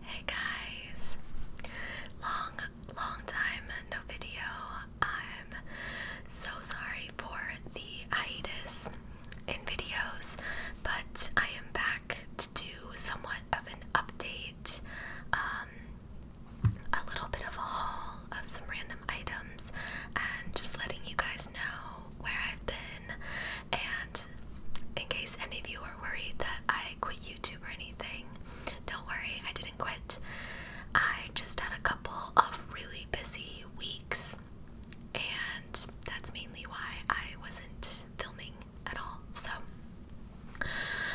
Hey guys, long, long time no video. I'm so sorry for the hiatus in videos, but I am back to do somewhat of an update, um, a little bit of a haul of some random items, and just letting you guys know where I've been and in case any of you are worried that I quit YouTube or anything, don't worry, I didn't quit. I just had a couple of really busy weeks, and that's mainly why I wasn't filming at all. So,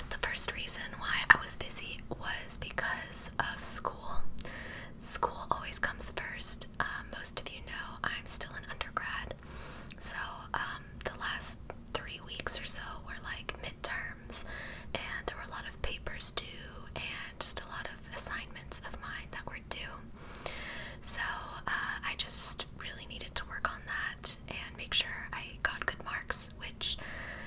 the first reason why I was busy was because of school. School always comes first. Um, most of you know I'm still an undergrad, so, um, the last three weeks or so were like midterms, and there were a lot of papers due and just a lot of assignments of mine that were due. So, uh, I just really needed to work on that and make sure I got good marks, which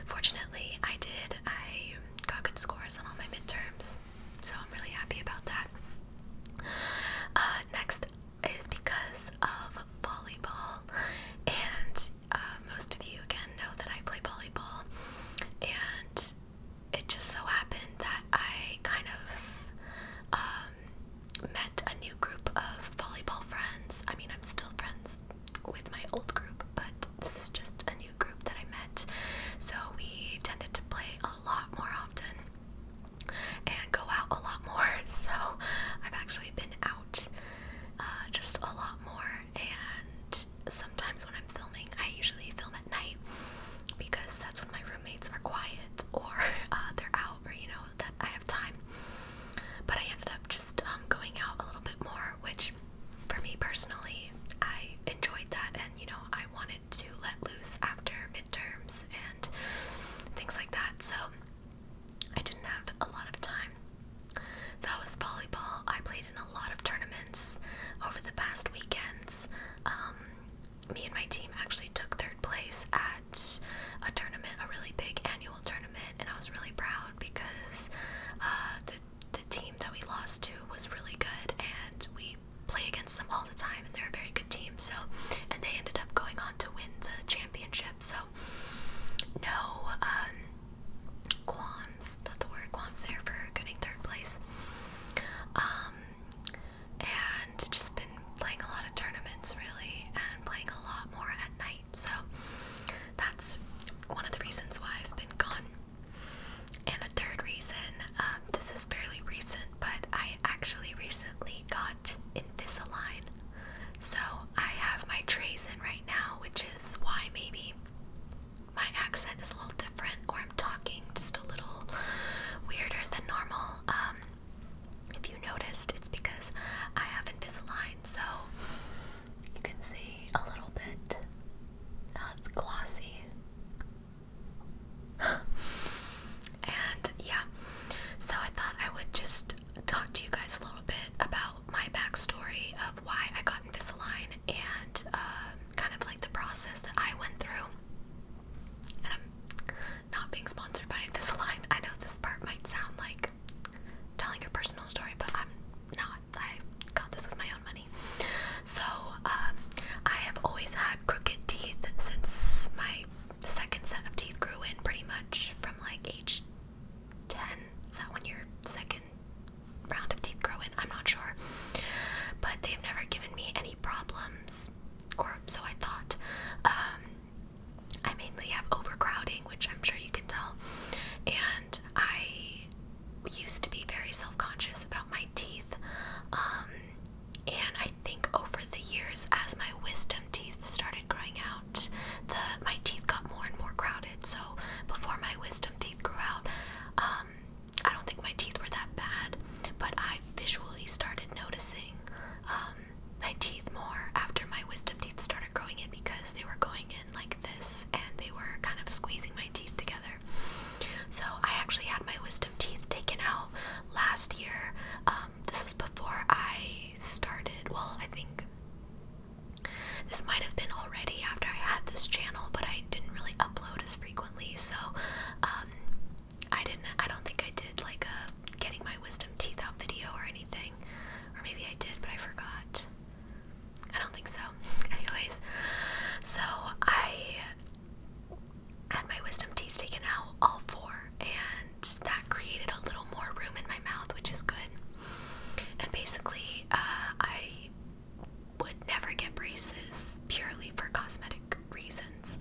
fortunately I did. I got good scores on all my midterms, so I'm really happy about that. Uh, next is because of volleyball, and uh, most of you again know that I play volleyball, and it just so happened that I kind of um, met a new group of volleyball friends. I mean, I'm still friends with my old group, but this is just a new group that I met, so we tended to play a lot more often and go out a lot more. So I've actually been out uh, just a lot more. And sometimes when I'm filming, I usually film at night because that's when my roommates are quiet or uh, they're out, or you know, that I have time. But I ended up just um, going out a little bit more, which for me personally, I enjoyed that, and you know, I wanted to let loose after midterms and things like that. So I didn't have a lot of time. So I was volleyball. I played in a lot of tournaments over the past weekends. Um, me and my team actually took third place at a tournament, a really big annual tournament, and I was really proud because uh, the the team that we lost to was really good, and we play against them all the time, and they're a very good team. So, and they ended up going on to win the championship. So, no um, qualms. That's the word qualms there for getting third place. Um, and just been playing a lot of tournaments really, and playing a lot more at night. So that's one of the reasons why I've been gone. And a third reason, um, this is fairly recent, but I actually recently got bought Invisalign. So I have my trays in right now, which is why maybe my accent is a little different or I'm talking just a little weirder than normal. Um, if you noticed, it's because I have Invisalign, so you can see a little bit Now it's glossy and yeah, so I thought I would just talk to you guys a little bit about my backstory of why I got Invisalign and um, kind of like the process that I went through. And I'm not being sponsored by Invisalign. I know this part might sound like telling your personal story, but I'm not. I got this with my own money. So um, I have always had crooked teeth since my the second set of teeth grew in pretty much from like age 10. Is that when your second round of teeth grew in? I'm not sure. But they've never given me any problems, or so I thought. Um, I mainly have overcrowding, which I'm sure you can tell. And I used to be very self conscious about my teeth. Um, and I think over the years, as my wisdom teeth started growing out, the my teeth got more and more crowded. So before my wisdom teeth grew out, um, I don't think my teeth were that bad, but I visually started noticing um, my teeth more after my wisdom teeth started growing in because they were going in like this and they were kind of squeezing my teeth together. So I actually had my wisdom teeth taken out last year uh, um, this was before I started. Well, I think this might have been already after I had this channel, but I didn't really upload as frequently, so um, I didn't. I don't think I did like a uh, getting my wisdom teeth out video or anything, or maybe I did, but I forgot. I don't think so. Anyways, so I had my wisdom teeth taken out, all four, and that created a little more room in my mouth, which is good. And basically, uh, I would never get braces purely for cosmetic reasons.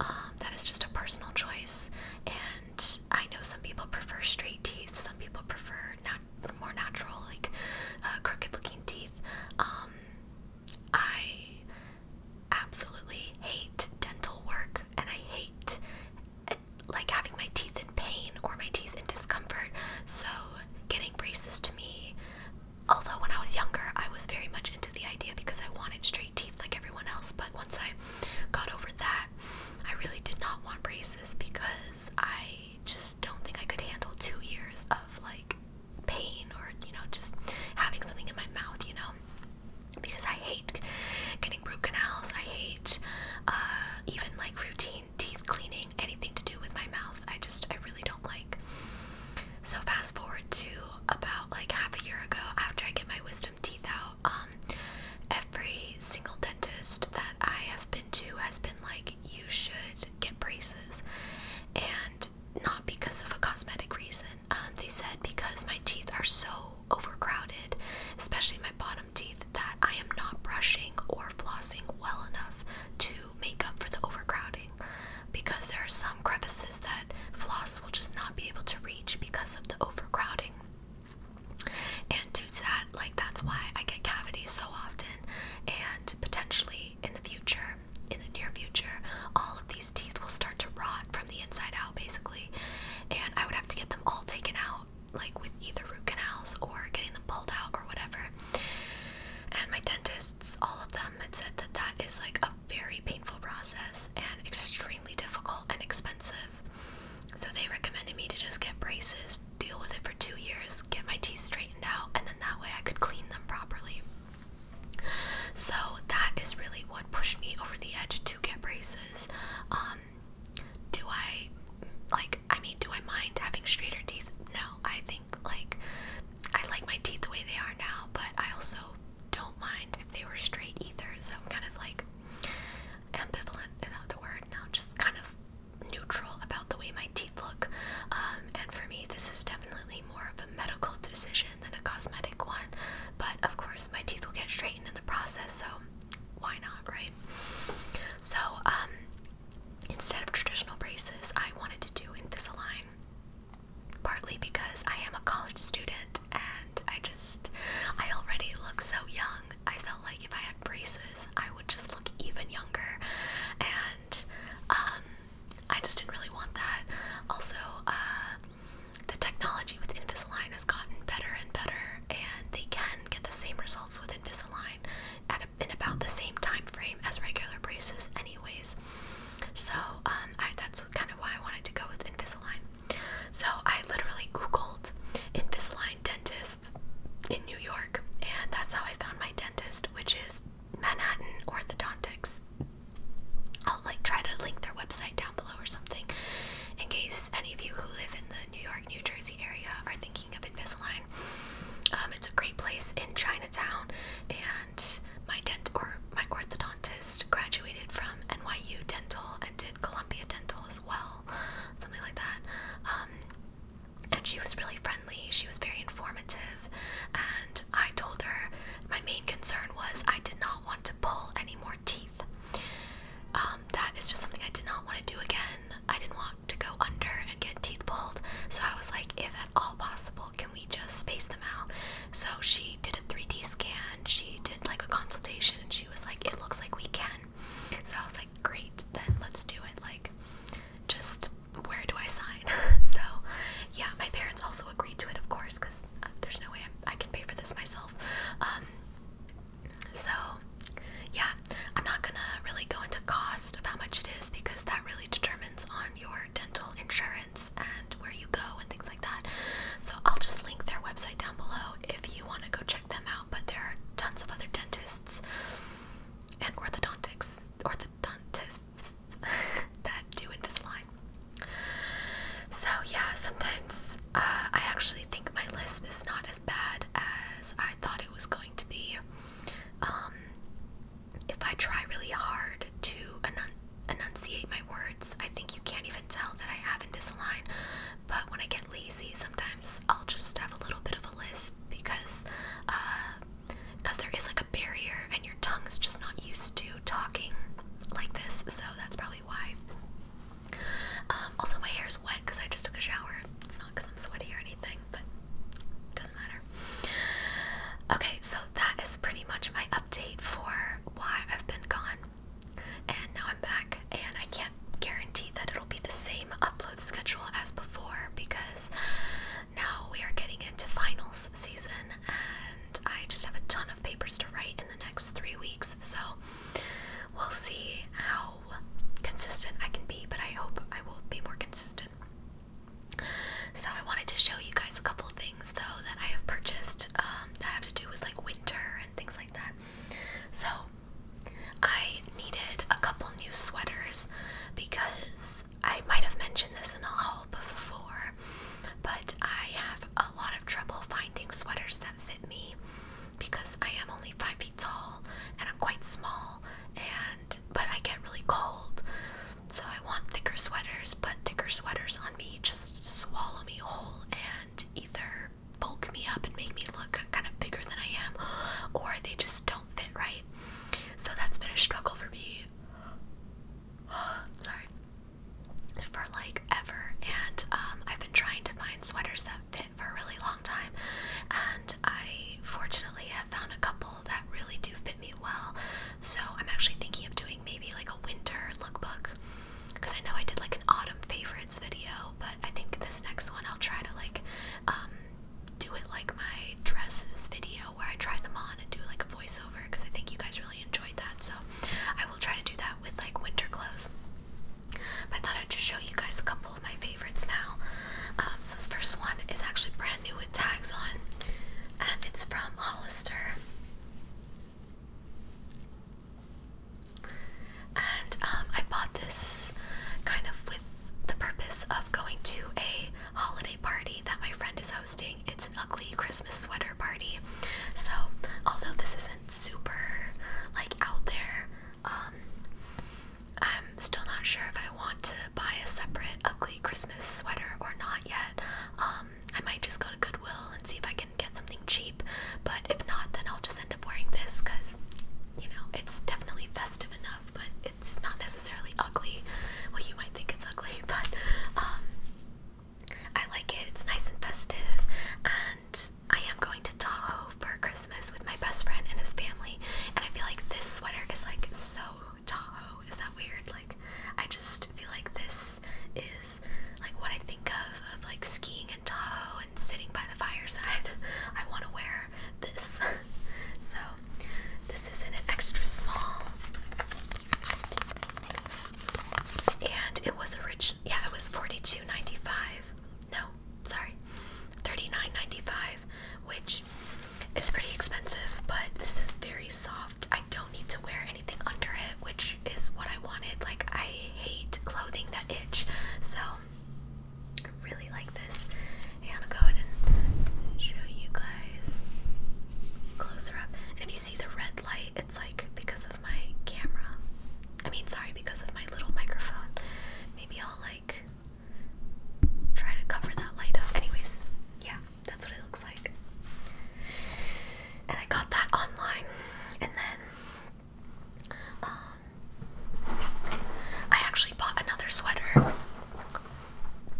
Um, that is just a personal choice, and I know some people prefer straight teeth, some people prefer nat more natural, like uh, crooked looking teeth. Um, I absolutely hate dental work and I hate eh, like having my teeth in pain or my teeth in discomfort. So getting braces to me, although when I was younger I was very much into the idea because I wanted straight teeth like everyone else, but once I got over that, I really did not want braces because I just don't think I could handle 2 years of like pain or you know just having something in my mouth, you know because I hate getting root canals. I hate uh, even like routine teeth cleaning, anything to do with my mouth. I just, I really don't like. So fast forward to about like half a year ago, after I get my wisdom teeth out, um, every single dentist that I have been to has been like, you should get braces. And not because of a cosmetic reason. Um, they said because my teeth are so overcrowded, especially my bottom teeth, that I am not brushing or flossing well enough to make up for the overcrowding. Because there are some crevices that floss will just not be able to reach because of the overcrowding. And due to that, like that's why I get cavities so often, and potentially in the future, in the near future, all of these teeth will start to rot from the inside out, basically. And I would have to get them all taken out, like with either root canals or getting them pulled out or whatever. And my dentists, all of them, had said that that is like a very painful process and extremely difficult and expensive. So they recommended me to just get braces, deal with it for two years, get my teeth straightened out, and then that way I could clean them properly. So that is really what pushed me over the edge to get braces. Um, do I like? I mean, do I mind having straighter teeth? No, I think like I like my teeth the way they are now, but I also don't mind if they were straight either. So I'm kind of like ambivalent is that the word? Now just kind of neutral about the way my teeth look. Um, and for me, this is definitely more of a medical decision than a cosmetic one, but of course, my teeth will get straightened in the process, so why not, right? So, um, instead of traditional braces, I wanted to do Invisalign, partly because I am a college student and I just, I already look so young. I felt like if I had braces, I would just look even younger, and um, I just didn't really want that. Also, uh, the technology with Invisalign has gotten better and better, and they can get the same results with Invisalign at in about the same time frame as regular braces, anyways. So um, that's kind of why I wanted to go with Invisalign. So I literally Googled Invisalign dentists in New York, and that's how I found my dentist, which is Manhattan Orthodontics. I'll like try to link their website down below or something in case any of you who live in the New York, New Jersey area are thinking of Invisalign. Um, it's a great place in Chinatown, and my dent or my orthodontist graduated from NYU Dental and did Columbia Dental as well, something like that. Um, and she was really friendly. She was very informative, and I told her my main concern was I did not want to pull any more teeth. Um, that is just something I did not want to do again. I didn't want to go under and get teeth pulled, so I was like, if at all possible, can we just space them out? So she did a 3D scan, she did like a consultation, and she was like, it looks like we can. So I was like, great, then let's do it. Like, just where do I sign? so, yeah, my parents also agreed to it, of course, because there's no way I, can pay for this myself. Um, so, yeah, I'm not gonna really go into cost of how much it is because that really determines on your dental insurance and where you go and things like that. So, I'll just link their website down below if you want to go check them out. But there are tons of other dentists and orthodontics, orthodontists, that do in this line. So yeah, sometimes uh, I actually think my lisp is not as bad as I thought it was going to be. Um, if I try really hard to enun enunciate my words, I think you can't even tell that I have a Invisalign. But when I get lazy, sometimes I'll just have a little bit of a lisp because uh, because there is like a barrier and your tongue's just not used to talking like this, so that's probably why. Um, also, my hair's wet because I just took a shower. It's not because I'm sweaty or anything, but doesn't matter. Okay, so that is pretty much my update for why I've been gone. And now I'm back, and I can't guarantee that it'll be the same upload schedule as before because now we are getting into finals season, and I just have a ton of papers to write in the next three weeks, so we'll see how consistent I can be, but I hope I will be more consistent. So, I wanted to show you guys a couple things though that I have purchased um, that have to do with like winter and things like that. So, I needed a couple new sweaters because I might have mentioned this in a haul before, but I have a lot of trouble finding sweaters that fit me because I am only five feet tall and I'm quite small and but I get really cold. So I want thicker sweaters, but thicker sweaters on me just swallow me whole and either bulk me up and make me look kind of bigger than I am or they just don't fit right. So that's been a struggle for me sorry, for like ever. And um, I've been trying to find sweaters that fit for a really long time. And I fortunately have found a couple that really do fit me well. So I'm actually thinking of doing maybe like a winter lookbook. Because I know I did like an autumn favorites video, but I think this next one I'll try to like um, do it like my dresses video where I try them on and do like a voiceover because I think you guys really enjoyed that. So I will try to do that with like winter clothes. But I thought I'd just show you guys a couple of my favorites now. Um, so this first one is actually brand new with tags on, and it's from Hollister. And um, I bought this kind of with the purpose of going to a holiday party that my friend is hosting. It's an ugly Christmas sweater party. So, although this isn't super like out there, um, I'm still not sure if I want to buy a separate ugly Christmas sweater or not yet. Um, I might just go to Goodwill and see if I can get something cheap, but if not, then I'll just end up wearing this because you know it's definitely festive enough, but it's not necessarily ugly. Well, you might think it's ugly, but um, I like it. It's nice and festive, and I am going to Tahoe for Christmas with my best friend and his family. And I feel like this sweater is like so Tahoe. Is that weird? Like, I just feel like this is like what I think of of like skiing in Tahoe and sitting by the fireside. I want to wear this. so, this is in an extra small. And it was originally, Yeah, it was forty-two ninety-five. No, sorry, thirty-nine ninety-five, which is pretty expensive. But this is very soft. I don't need to wear anything under it, which is what I wanted. Like I hate clothing that itch, so I really like this. And I'll go ahead and show you guys eyes. Closer up. And if you see the red light, it's like because of my camera. I mean, sorry, because of my little microphone. Maybe I'll like try to cover that light up. Anyways, yeah, that's what it looks like. And I got that online. And then um I actually bought another sweater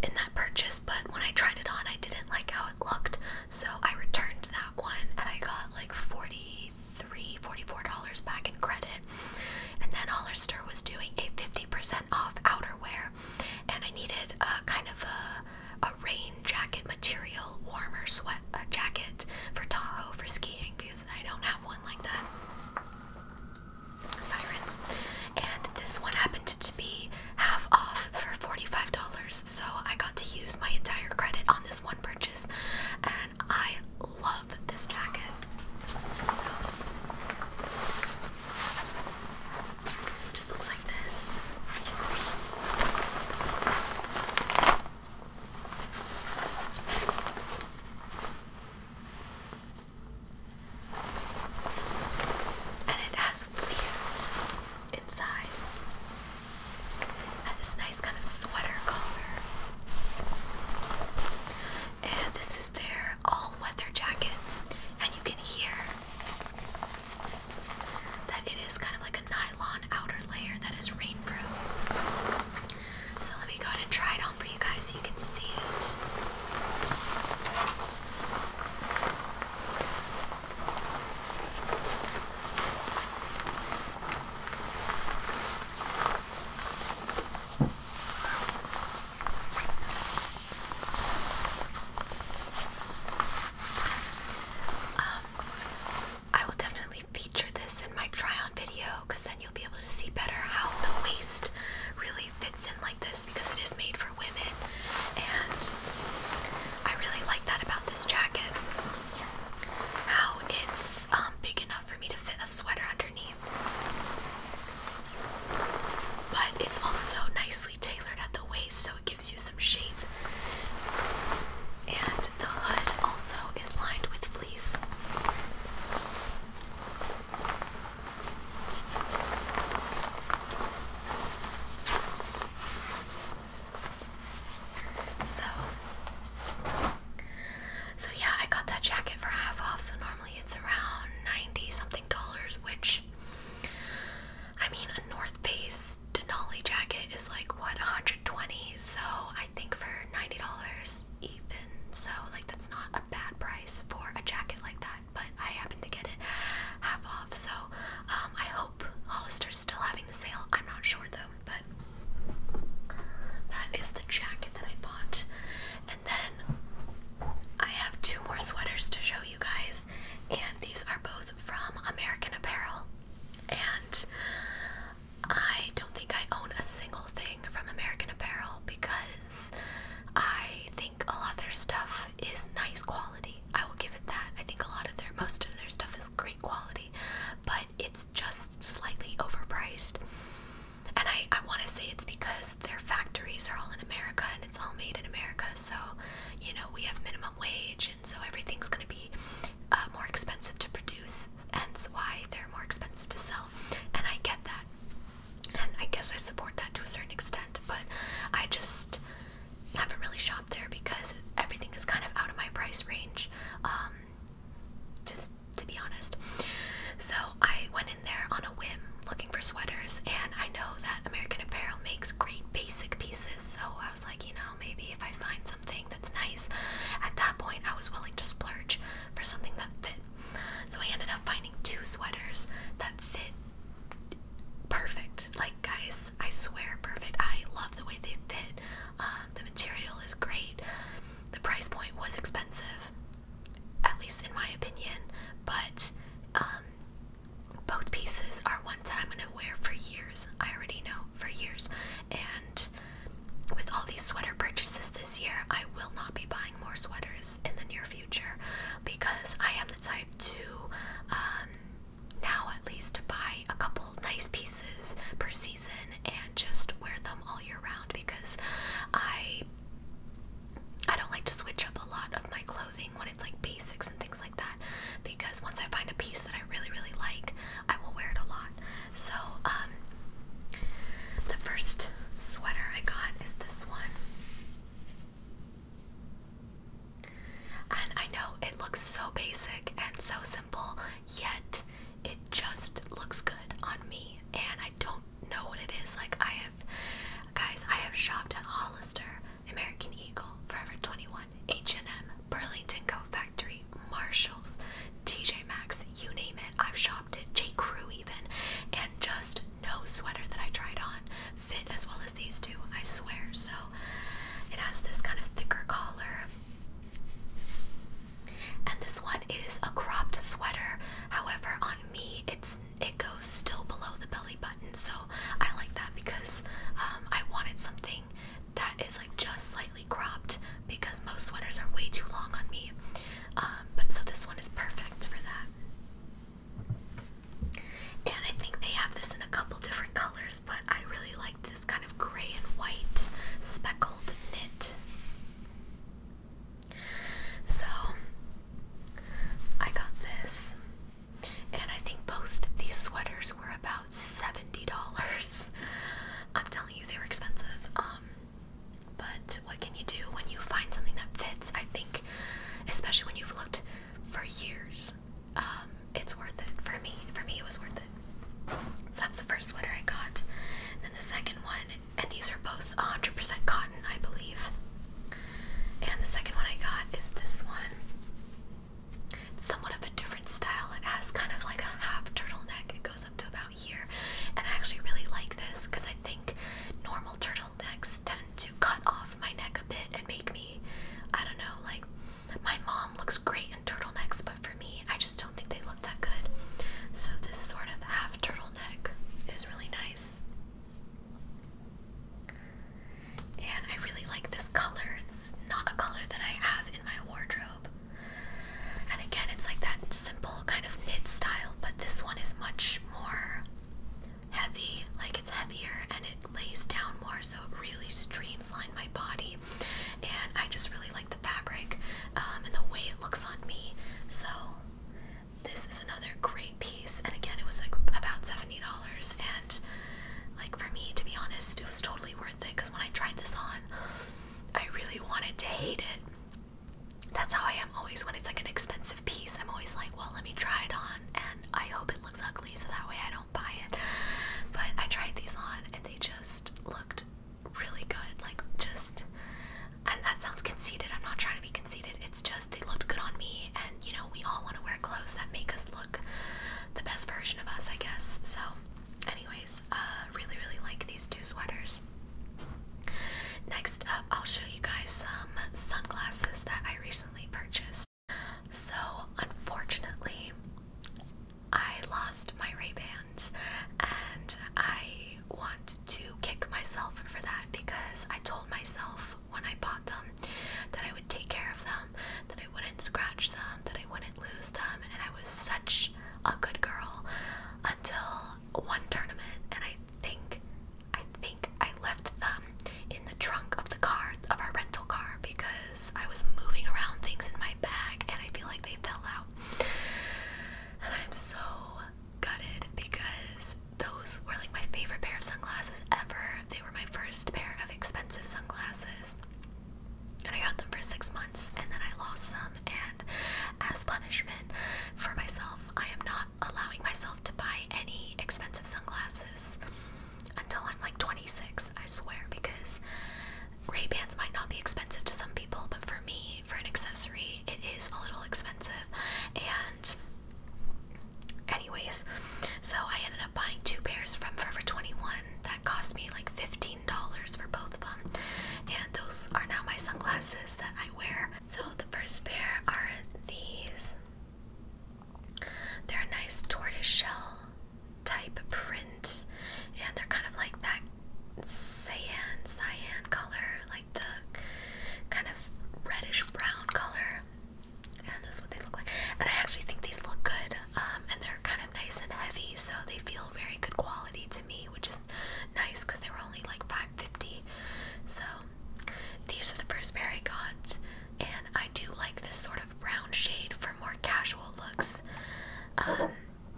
in that purchase, but when I tried it on, I didn't like how it looked, so I returned that one and I got like $43, $44 back in credit. And then Hollister was doing a 50% off outerwear, and I needed a kind of a, a rain jacket material, warmer sweat uh, jacket for Tahoe for skiing because I don't have one like that sirens. And this one happened to be half off for $45, so I got to use my entire credit on this one purchase, and I love this jacket. So, just looks like this. And it has fleece inside. And this nice kind of sweater collar. And this is their all-weather jacket. And you can hear that it is kind of like a nylon outer layer that is rainproof. So let me go ahead and try it on for you guys so you can see it. Um, I will definitely feature this in my try on video because then you'll be able to see better how the waist really fits in like this because it is made for women, and I really like that about this jacket. How it's um, big enough for me to fit a sweater underneath, but it's also nicely tailored at the waist, so it gives you some shape. And the hood also is lined with fleece. So, so yeah, I got that jacket for half off. So normally it's around ninety something dollars, which I mean, a North Face Denali jacket is like what 120. So I think for ninety dollars even, so like that's not a bad price for a jacket like that but I happened to get it half off. So um, I hope Hollister's still having the sale. I'm not sure though, but that is the jacket that I bought. And then I have two more sweaters to show you guys, and these are both from American Apparel. And I don't think I own a single thing from American Apparel because I think a lot of their stuff is nice quality. I will give it that. I think a lot of their, most of their stuff is great quality, but it's just slightly overpriced. And I, I want to say it's because their factories are all in America and it's all made in America. So, you know, we have minimum wage, and so everything's going to be uh, more expensive to produce, hence why they're more expensive to sell. And I get that. And I guess I support that to a certain extent, but I just haven't really shopped there because everything is kind of out of my price range. Um, just to be honest. So I went in there on a whim looking for sweaters, and I know that American Apparel makes great basic pieces, so I was like, you know, maybe if I find something that's nice, at that point I was willing to splurge for something that fit. So I ended up finding two sweaters that fit perfect. Like, guys, I swear, perfect. I love the way they fit. Um, the material is great. The price point was expensive, at least in my opinion, but um, both pieces are ones that I'm going to wear for years. I already know for years. And with all these sweater purchases this year, I will not be buying more sweaters in the near future because I am the type to, um, now at least, buy a couple nice pieces per season and just wear them all year round because I. I don't like to switch up a lot of my clothing when it's like basics and things like that because once I find a piece that I really really like, I will wear it a lot. So, um, the first sweater I got is this one. And I know it looks so basic and so simple, yet it just looks good on me. And I don't know what it is. Like, I have, guys, I have shopped at Hollister, American Eagle, Forever 21, H&M, Burlington Coat Factory, Marshalls, TJ Maxx, you name it. I've shopped at J. Crew even, and just no sweater that I tried on fit as well as these two, I swear. So it has this kind of thicker collar. And this one is a cropped sweater. However, on me, it's it goes still below the belly button. So I like that because um, I wanted something that is like just slightly cropped because most sweaters are way too long on me. Um, but so this one is perfect for that. And I think they have this in a couple different colors, but I really liked this kind of gray and white speckled knit. So I got this, and I think both these sweaters were about $70. I'm telling you, they were expensive. Um, but what can you do when you find something that fits? I think, especially when you've looked for years, um, it's worth it. For me, for me, it was worth it. So that's the first sweater I got. And then the second one, and these are both 100% cotton, I believe. And the second one I got is this one. It's somewhat of a different style. It has kind of like a half turtleneck. It goes up to about here. And I actually really like this because I think normal turtlenecks turtle tend to cut off my neck a bit and make me, I don't know, like my mom looks great in turtlenecks, but for me, I just don't think they look that good. So, this sort of half turtleneck is really nice. And I really like this color. It's not a color that I have in my wardrobe. And again, it's like that simple kind of knit style, but this one is much more heavy, like it's heavier and it lays down more, so it really streamlined my body. And I just really like the fabric um, and the way it looks on me. So this is another great piece. And again, it was like about seventy dollars. And like for me, to be honest, it was totally worth it because when I tried this on, I really wanted to hate it that's how I am always when it's like an expensive piece. I'm always like, well, let me try it on and I hope it looks ugly so that way I don't buy it. But I tried these on and they just looked really good. Like, just, and that sounds conceited. I'm not trying to be conceited. It's just they looked good on me. And, you know, we all want to wear clothes that make us look the best version of us, I guess. So, anyways, uh, really, really like these two sweaters. Next up, I'll show you guys some sunglasses that I recently purchased. So, unfortunately, I lost my Raybans, and I want to kick myself for that because I told myself when I bought them that I would take care of them, that I wouldn't scratch them, that I wouldn't lose them, and I was such a good girl until one tournament and I think I think I left them in the trunk of the car of our rental car because I was moving around things in my bag and I feel like they fell out. And I'm so gutted because those were like my favorite pair of sunglasses ever. They were my first pair of expensive sunglasses. And I got them for six months and then I lost them. And as punishment for myself, I am not allowing myself to buy any expensive sunglasses until I'm like 26, I swear, because Ray-Bans might not be expensive to some people, but for me, for an accessory, it is a little expensive. And anyways, so I ended up buying two pairs from Forever 21 that cost me like $15 for both of them. And those are now my sunglasses that I wear so the first pair are these. They're a nice tortoiseshell type print, and they're kind of like that cyan, cyan color, like the kind of reddish brown color. And this is what they look like. And I actually think these look good, um, and they're kind of nice and heavy, so they feel very good quality too which is nice because they were only like 550. So these are the first pair I got, and I do like this sort of brown shade for more casual looks. Um,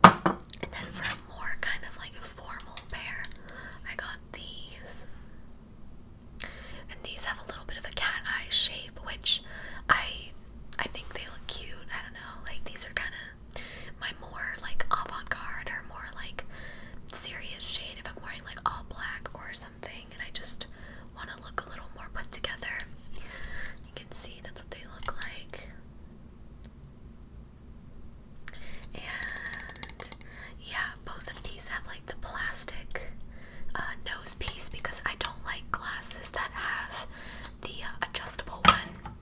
and then for a more kind of like formal pair, I got these. And these have a little bit of a cat eye shape, which I I think they look cute. I don't know, like these are kind of my more like avant-garde or more like serious shade if I'm wearing like all black or something and I just want to look a little more put together. You can see that's what they look like. And yeah, both of these have like the plastic uh, nose piece because I don't like glasses that have the uh, adjustable one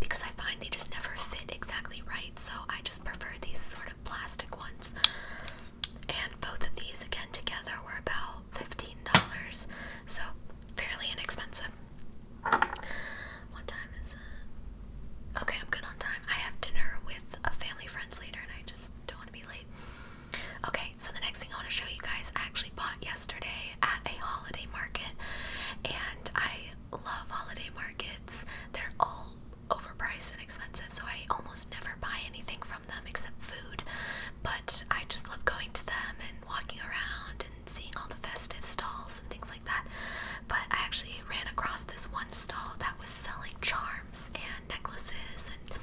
because I find they just never fit exactly right, so I just prefer these sort of plastic ones. And both of these, again, together were about $15, so fairly inexpensive. What time is it? Okay, I'm good on time. I have dinner with a family friend later, and I just don't want to be late. Okay, so the next thing I want to show you guys, I actually bought yesterday at a holiday market, and I love holiday markets they're all overpriced and expensive, so I almost never buy anything from them except food. But I just love going to them and walking around and seeing all the festive stalls and things like that. But I actually ran across this one stall that was selling charms and necklaces, and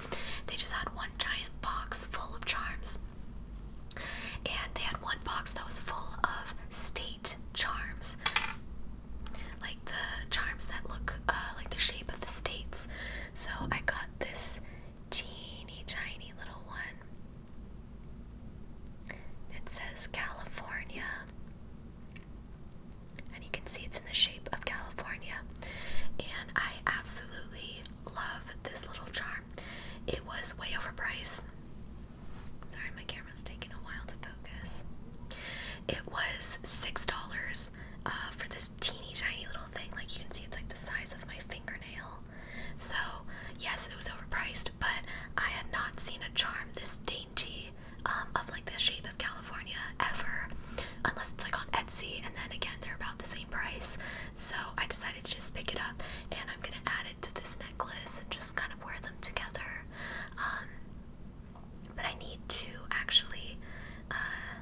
they just had one giant box full of charms. And they had one box that was full of state charms, like the charms that look uh, like the shape of the states. So I got this teeny tiny little one. It says California. And you can see it's in the shape of California. And I absolutely love this little charm. It was way overpriced. Sorry, my camera's taking a while to focus. It was $6 uh, for this teeny tiny little thing. Like you can see, it's like the size of my fingernail. So, yes, it was overpriced, but I had not seen a charm this dainty um, of like the shape of California ever, unless it's like on Etsy, and then again, they're about the same price. So, I decided to just pick it up and I'm gonna add it to this necklace and just kind of wear them together. Um, but I need to actually uh,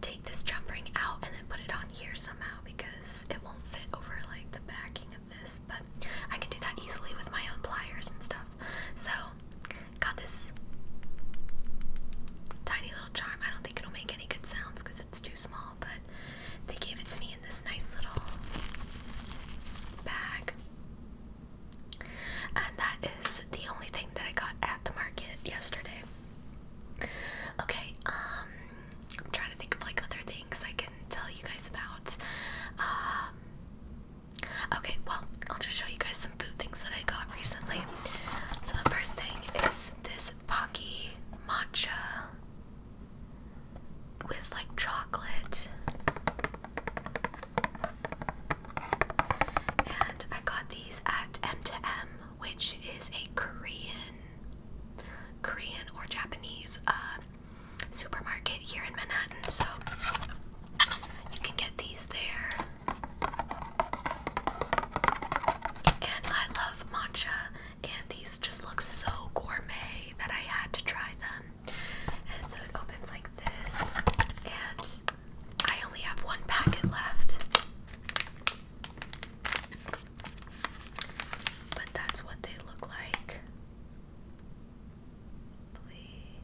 take this jump ring out and then put it on here somehow because it won't fit over like the backing of this. But I can do that easily with my own pliers and stuff. So, got this tiny little charm. I don't think it'll make any good sounds because it's too small, but they gave it to me in this nice little bag. And that is the only thing that I got at the market yesterday. Okay, um, I'm trying to think of like other things I can tell you guys about. Um, okay, well, I'll just show you guys some food things that I got recently. So the first thing is this Pocky Matcha with like chocolate. And I got these at M2M, which is a Korean, Korean or Japanese uh, supermarket here in Manhattan. So you can get these there. And I love matcha and these just look so gourmet that I had to try them. And so it opens like this, and I only have one packet left. But that's what they look like. Hopefully,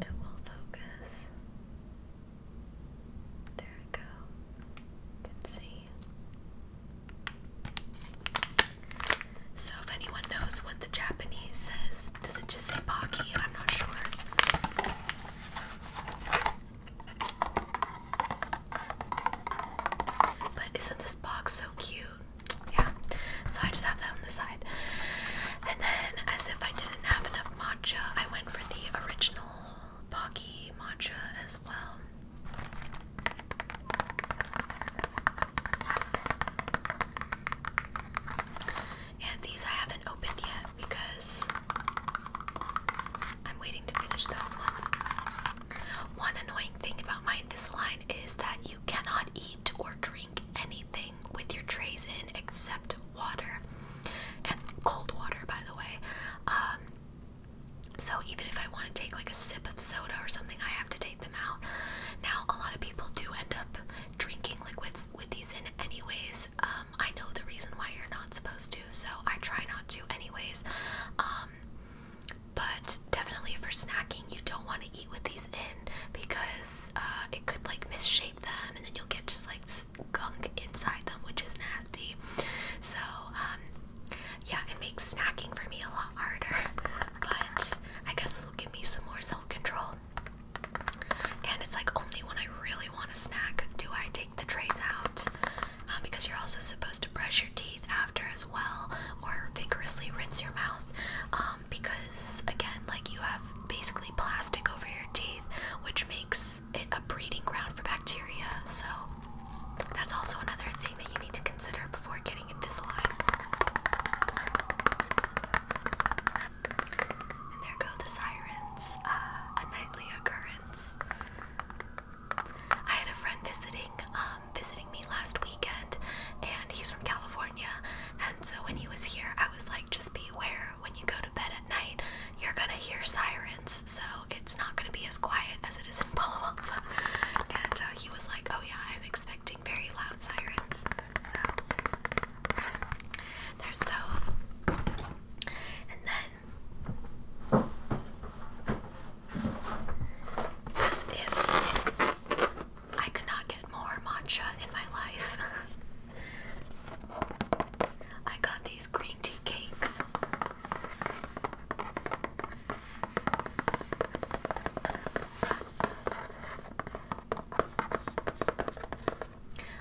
it will focus. There we go. can see. So, if anyone knows what the Japanese says, does it just say Pocky? I'm not sure. But isn't this box so cute? Yeah. So, I just have that on the side. And then, as if I didn't have enough matcha, I went for the original Pocky matcha as well. And these I haven't opened yet because I'm waiting to finish those ones. One annoying thing about my line is that you cannot eat or drink anything with your trays in except water and cold water, by the way. Um, so even if I want to take like a sip of soda or something, I have to take them out. Now, a lot of people do end up drinking liquids with these in anyways. Um, I know the reason why you're not supposed to, so I try not to anyways. Um, but definitely for snacking, you don't want to eat with these in because uh, it could like misshape them and then you'll get just like gunk inside them, which is nasty. So, um, yeah, it makes snacking for me a lot harder, but I guess this will give me some more self control. And it's like only when I really want to snack do I take the trays out um, because you're also supposed to brush your teeth after as well or vigorously rinse your mouth um, because, again, like you have basically plastic over your teeth, which makes it a breeding ground for bacteria. So that's also another thing that you need to consider before getting Invisalign. And there go the sirens, uh, a nightly occurrence. I had a friend visiting, um, visiting me last weekend, and he's from California. And so when he was here, I was like, just beware when you go to bed at night, you're gonna hear sirens. So it's not gonna be as quiet as it is in Palo Alto and uh, he was like, "Oh yeah, I'm expecting very loud sirens." So there's those, and then as if I could not get more matcha in my life. I got these green tea cakes.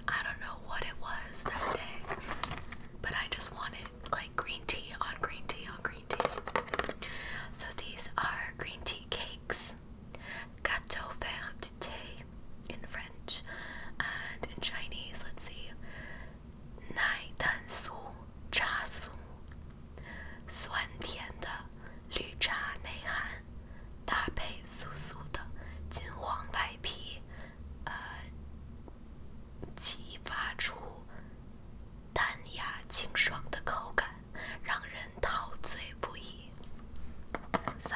I don't know what it was that day, but I just wanted like green tea on green tea on green tea. So these are green tea cakes, gâteau vert de thé in French, and in Chinese, let's see, 奶蛋酥茶酥，酸甜的绿茶内含，搭配酥酥的金黄外皮，呃，激发出淡雅清爽的口感，让人陶醉不已。So,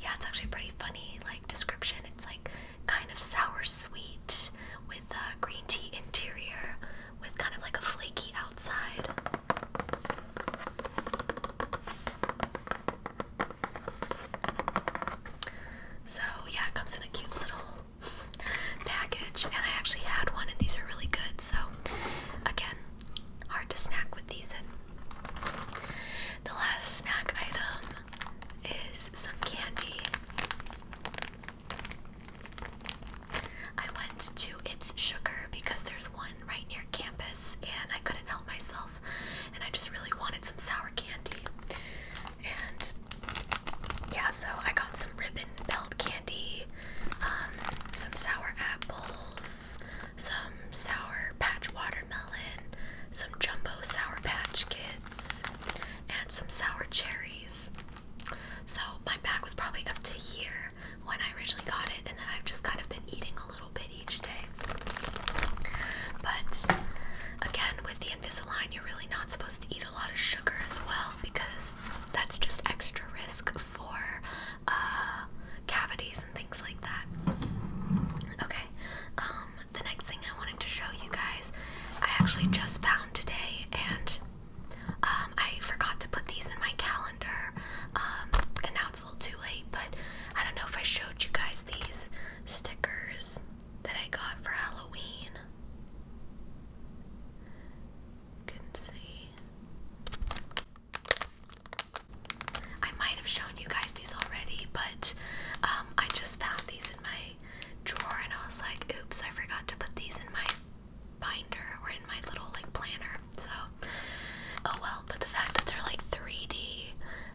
yeah, it's actually pretty funny. Like description, it's like kind of sour sweet. with with uh, green tea interior with kind of like a flaky outside. So, yeah, it comes in a cute little package, and I actually had one, and these are really good. So, again, hard to snack with these in. The last snack item is some candy. I went to It's Sugar because there's one right near campus and I couldn't help myself and I just really wanted some sour candy. And yeah, so I got some ribbon belt candy, um, some sour apples, some sour patch watermelon, some jumbo sour patch kids, and some sour cherries. So my bag was probably up to here when I originally got it, and then I've just kind of been eating a little bit each day. But again, with the Invisalign, you're really not supposed to eat a lot of sugar as well because that's just extra risk for uh, cavities and things like that. Okay, um, the next thing I wanted to show you guys, I actually just found today, and um, I forgot to put these in my calendar, um, and now it's a little too late, but I don't know if I showed you guys these stickers that I got for Halloween. You can see. I might have shown you guys these already, but um, I just found these in my drawer and I was like, oops, I forgot to put these in my binder or in my little like planner. So, oh well, but the fact that they're like 3D,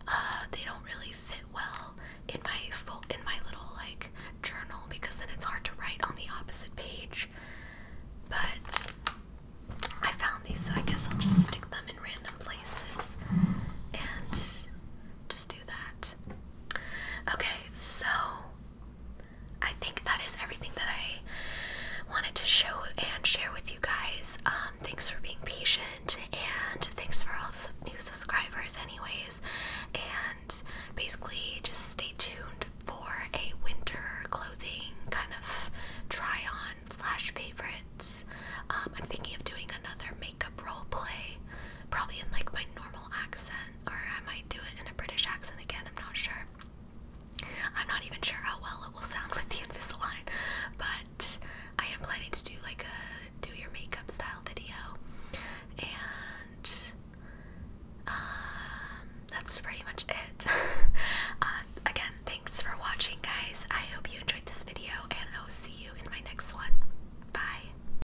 uh, they don't really fit well in my full in my little like journal because then it's hard to write on the opposite page. But I found these, so I guess I'll just stick them in random places and just do Okay, so I think that is everything that I wanted to show and share with you guys. Um, thanks for being patient and thanks for all the new subscribers, anyways. And basically, just stay tuned for a winter clothing kind of try on slash favorites. Um, I'm thinking of doing another makeup role probably in like my normal accent, or I might do it in a British accent again, I'm not sure. I'm not even sure how well it will sound with the Invisalign, but I am planning to do like a do your makeup style video, and um, that's pretty much it. Uh, again, thanks for watching, guys. I hope you enjoyed this video, and I will see you in my next one. Bye.